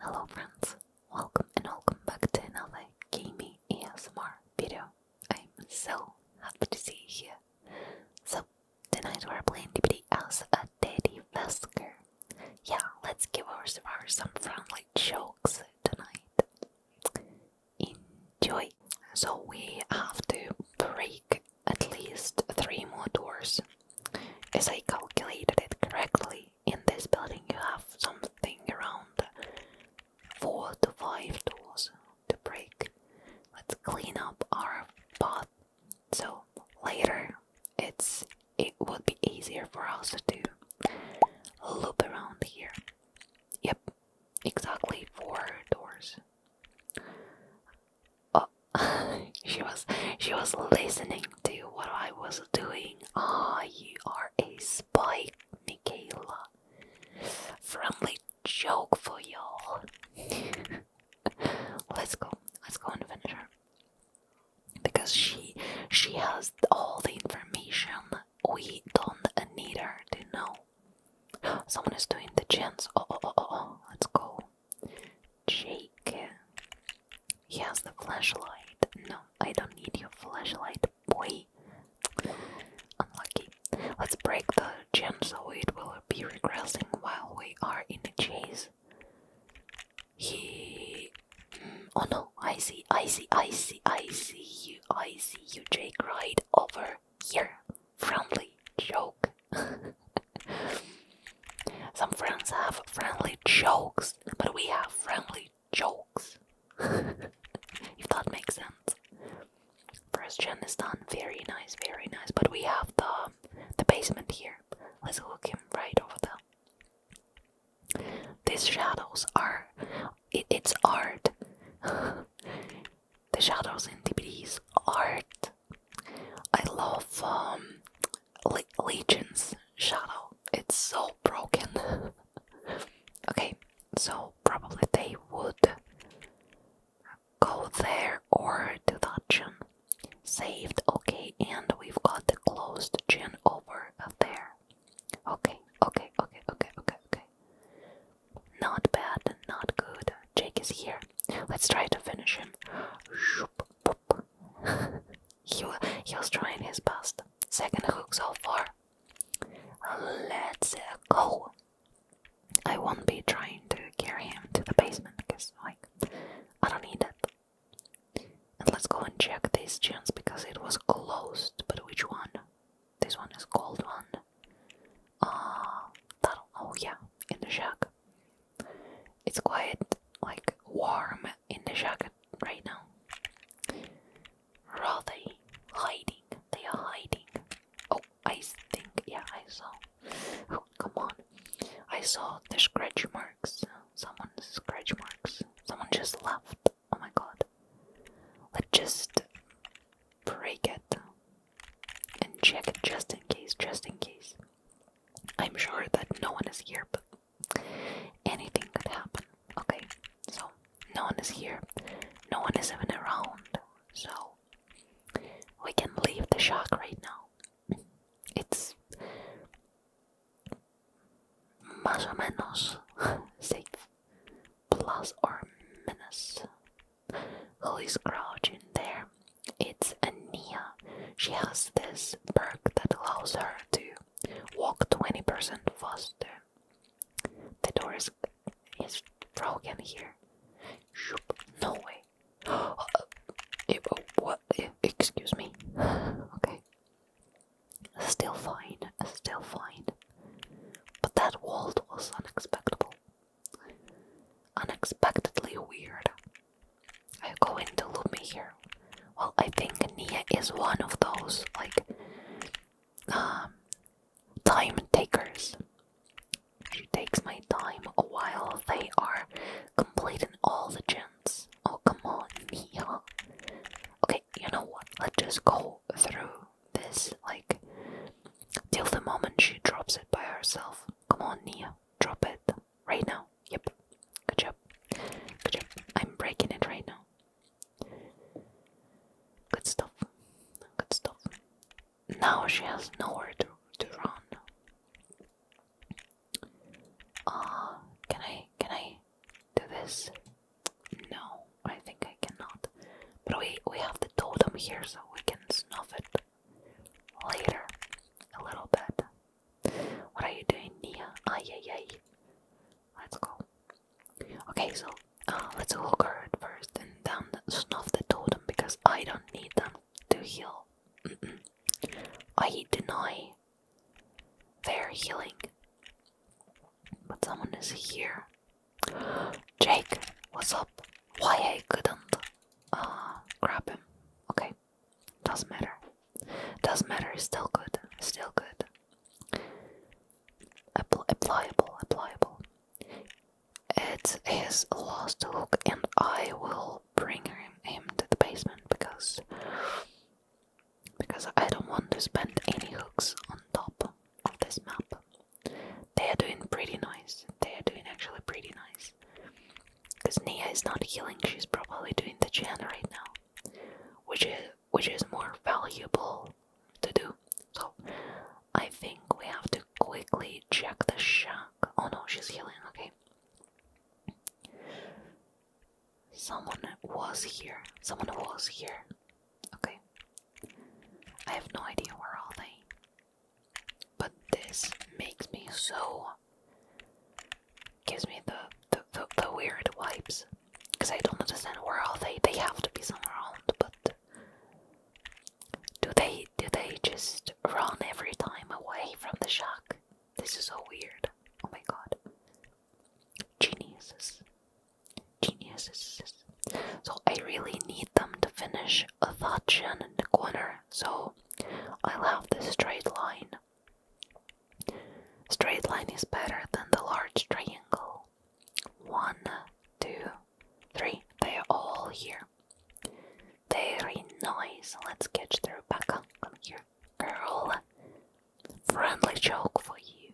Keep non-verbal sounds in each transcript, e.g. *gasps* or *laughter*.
Hello friends, welcome and welcome back to another gaming ASMR video. I'm so happy to see you here. So, tonight we're playing DBD as a Daddy Vesker. Yeah, let's give our survivors some friendly jokes tonight. Enjoy! So we have to break at least three more doors as I calculated it correctly, in this building you have something around four to five doors to break. Let's clean up our path so later it's it would be easier for us to loop around here. Yep, exactly four doors. Oh, *laughs* she was she was listening do what I was doing. Ah, you are a spy, Michaela. Friendly joke for y'all. *laughs* let's go. Let's go and finish her. Because she she has all the information we don't need her to know. *gasps* Someone is doing the chance. Oh, oh, oh, oh, oh. Let's go. Jake. He has the flashlight. No, I don't need your flashlight, boy. Unlucky. Let's break the gen so it will be regressing while we are in the chase. He. Mm, oh no, I see, I see, I see, I see you, I see you, Jake, right over here. Friendly joke. *laughs* Some friends have friendly jokes, but we have friendly jokes. *laughs* if that makes sense. First gen is done. Very nice, very nice. But we have the the basement here. Let's hook him right over there. These shadows are it's art. *laughs* the shadows in DBD's art. I love um Le Legion's shadow. It's so broken. *laughs* okay, so probably they would go there or to that gym. Saved, okay, and we've got the closed gym over there. Okay, okay, okay, okay, okay, okay. Not bad, not good. Jake is here. Let's try to finish him. Shoop, boop. *laughs* he, was trying his best. Second hook so far. Let's go. I won't be trying to carry him to the basement because, like, I don't need it. And let's go and check these gyms because it was closed. But which one? This one is gold one. Ah, uh, oh yeah, in the shack. It's quite like warm in the jacket right now. are they? Hiding. They are hiding. Oh, I think, yeah, I saw. Oh, come on. I saw the scratch marks. Someone's scratch marks. Someone just left. Oh my god. Let's just break it and check it just in case, just in case. I'm sure that no one is here, but anything could happen. Okay, so no one is here, no one is even around, so we can leave the shack right now. It's más o menos *laughs* safe, plus or minus. Who is crouching there? It's Ania she has this perk that allows her to walk 20% faster. The door is, broken here. No way. *gasps* what? Excuse me. *sighs* Okay. Still fine. Still fine. But that wall was unexpected. Unexpectedly weird are going to loop me here. Well, I think Nia is one of those like um, time takers. She takes my time a while. They are completing all the gens. Oh come on, Nia. Okay, you know what? Let's just go through this like till the moment she drops it by herself. Come on, Nia, drop it right now. Yep. Good job. Good job. I'm breaking it right now. Good stuff. Good stuff. Now she has nowhere to to run. Ah, can I can I do this? No, I think I cannot. But we we have the totem here, so we can snuff it later a little bit. What are you doing, Nia? Ay, yeah yeah. Let's go. Okay, so uh, let's hook her at first and then snuff the totem because I don't need them to heal. I deny their healing. But someone is here. Jake, what's up? Why I couldn't uh, grab him? Okay. Doesn't matter. Doesn't matter. It's still good. Still good. Appl applicable. Applicable. It is lost hook, and I will bring him, him to the basement because because I don't want to spend any hooks on top of this map. They are doing pretty nice. They are doing actually pretty nice. Because Nia is not healing, she's probably doing the gen right now, which is which is more valuable to do. So I think we have to quickly check the shock. Oh no, she's healing. Okay. Someone was here. Someone was here. Okay. I have no idea where are they. But this makes me so gives me the the, the, weird wipes, because I don't understand where all they. They have to be somewhere around, but do they do they just run every time away from the shark? This is so weird. Oh my god, geniuses, geniuses. So I really need them to finish a thought in the corner. So I'll have this straight line Straight line is better than the large triangle. One, two, three. They are all here. Very nice. Let's catch the Rebecca. Come here, girl. Friendly joke for you.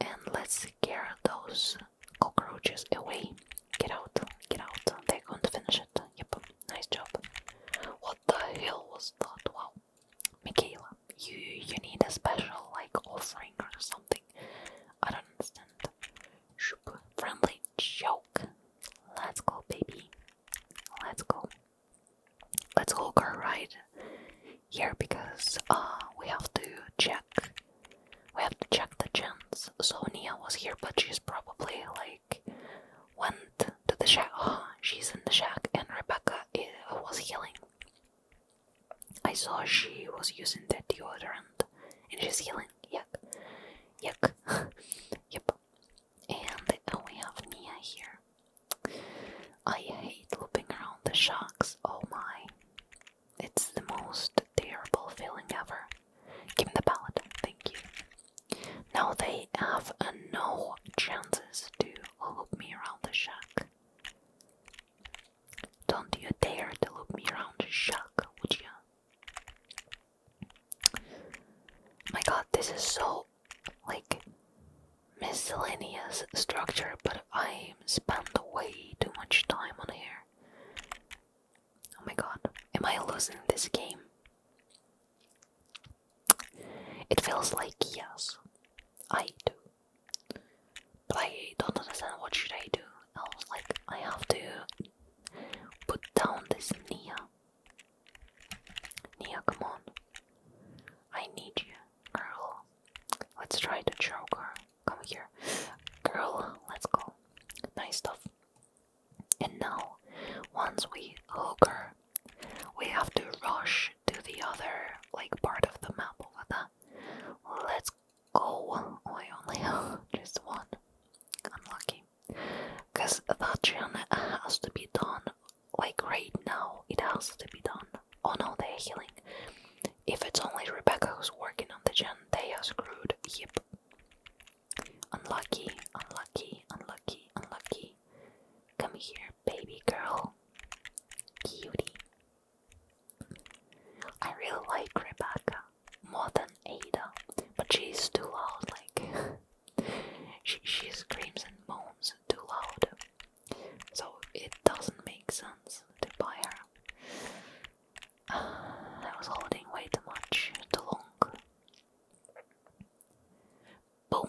And let's scare those cockroaches away. Get out, get out. They're going to finish it. Yep. Nice job. What the hell was that? Wow. Michaela, you you need a special like offering or something. I don't understand. Shoop. Friendly joke. Let's go, baby. Let's go. Let's go car ride here because uh we have to check we have to check the chance. So Nia was here but she's probably like went to the shack. *gasps* she's in the shack, and Rebecca uh, was healing. I saw she was using the deodorant, and she's healing. Yuck, yuck. *laughs* yep. And uh, we have Nia here. I hate looping around the shacks. Oh my, it's the most terrible feeling ever. Give me the palette. Thank you. Now they have uh, no chances to loop me around the shack. Don't you dare to loop me around the shack, would you? My god, this is so, like, miscellaneous structure, but I spent way too much time on here. Oh my god, am I losing this game? It feels like yes, I do. But I don't understand what should I do. I was like, I have to put down this Nia. Nia, come on. I need you, girl. Let's try to choke her. Come here. Girl, let's go. Nice stuff. And now, once we hook her, we have to rush to the other like part of the map over there. Let's go. Oh, I only have *laughs* just one. I'm lucky. Cause that gen has to be done like right now. It has to be done. Oh no, they're healing. If it's only Rebecca who's working on the gen, they are screwed. Yep. Unlucky, unlucky, unlucky, unlucky. Come here, baby girl. Cutie. I really like Rebecca more than Ada, but she's too loud, like *laughs* she she screams and moans too loud. So it doesn't make sense to buy her. Uh, *sighs* I was holding way too much, too long. Boom.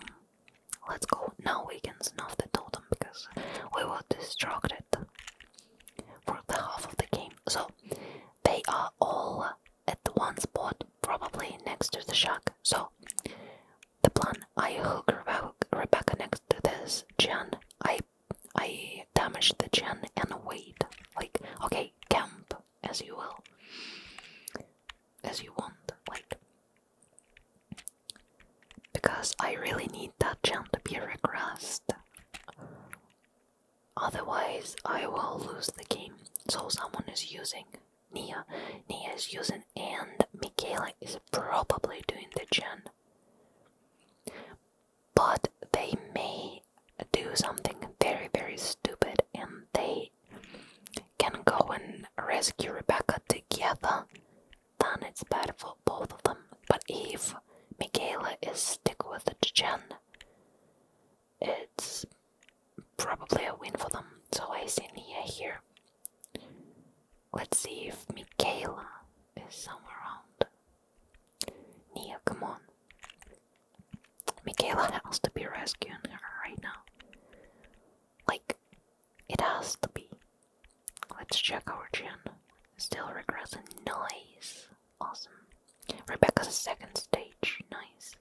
Let's go. Now we can snuff the totem because we were distracted for the half of the game. So they are all at one spot, probably next to the shack. So the plan I hook Rebecca next to this Jan. I I damage the Jan and wait. Like, okay, camp as you will, as you want, like. Because I really need that gem to be regressed. Otherwise, I will lose the game. So, someone is using Nia. Nia is using, and Michaela is probably doing the gen. But they may do something very, very stupid and they can go and rescue Rebecca together, then it's better for both of them. But if Michaela is stick with the Jen, it's probably a win for them. So I see Nia here. Let's see if Michaela is somewhere around. Nia, come on. Michaela has to be rescuing her right now. Like, it has to be. Let's check our gin. Still regressing. Nice. Awesome. Rebecca's second stage. Nice.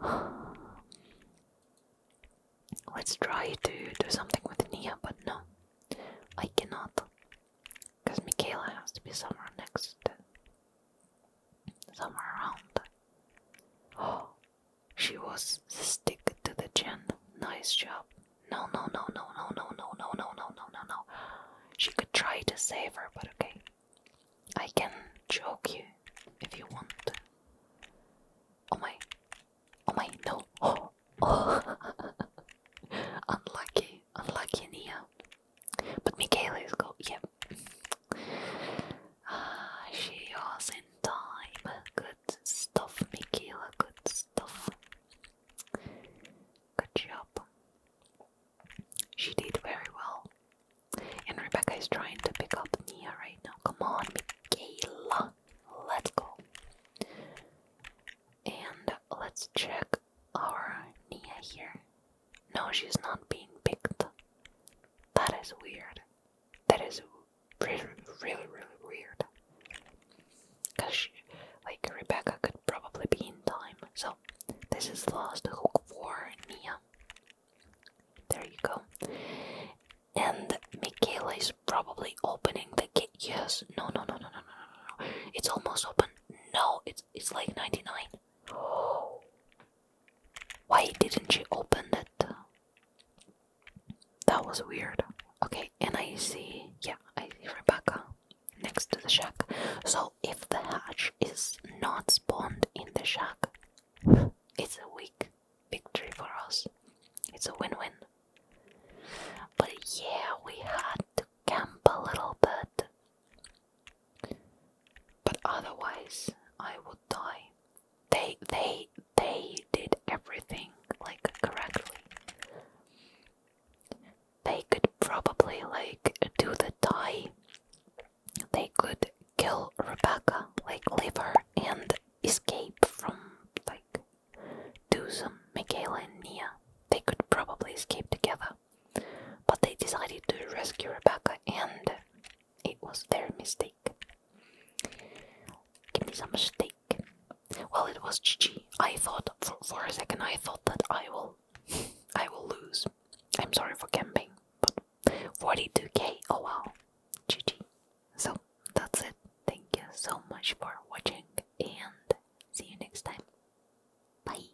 *sighs* Let's try to do something with Nia, but no. I cannot. Because Michaela has to be somewhere next somewhere around. Oh, she was the stick to the chin. Nice job. No, no, no, no, no, no, no, no, no, no, no, no, no. She could try to save her, but okay. I can choke you if you want. Oh my. Oh my, no. Oh. oh. unlucky, unlucky Nia. But Michaela is go. Yep, Ah, she was in time. Good stuff, Mikila, good stuff. Good job. She did very well. And Rebecca is trying to pick up Nia right now. Come on, Michaela. Let's go. And let's check our Nia here. No, she's not being picked. That is weird. That is really, really, really weird. Cause she, like Rebecca could probably be in time. So this is the last hook for Nia. There you go. And Michaela is probably opening the gate. Yes. No, no, no, no, no, no, no, no. It's almost open. No, it's it's like ninety nine. *gasps* Why didn't she open it? That was weird. Okay, and I see, yeah, I see Rebecca next to the shack. So if the hatch is not spawned in the shack, *laughs* it's a weak victory for us. It's a win-win. But yeah, we had to camp a little bit. But otherwise, I would die. They, they, they did everything like correctly. They could probably like do the tie. They could kill Rebecca, like leave her and escape from like do some Michaela and Nia. They could probably escape together. But they decided to rescue Rebecca, and it was their mistake. Give me some steak. Well, it was GG. I thought for, a second. I thought that I will, *laughs* I will lose. I'm sorry for camping, but 42k. Oh wow, GG. So that's it. Thank you so much for watching, and see you next time. Bye.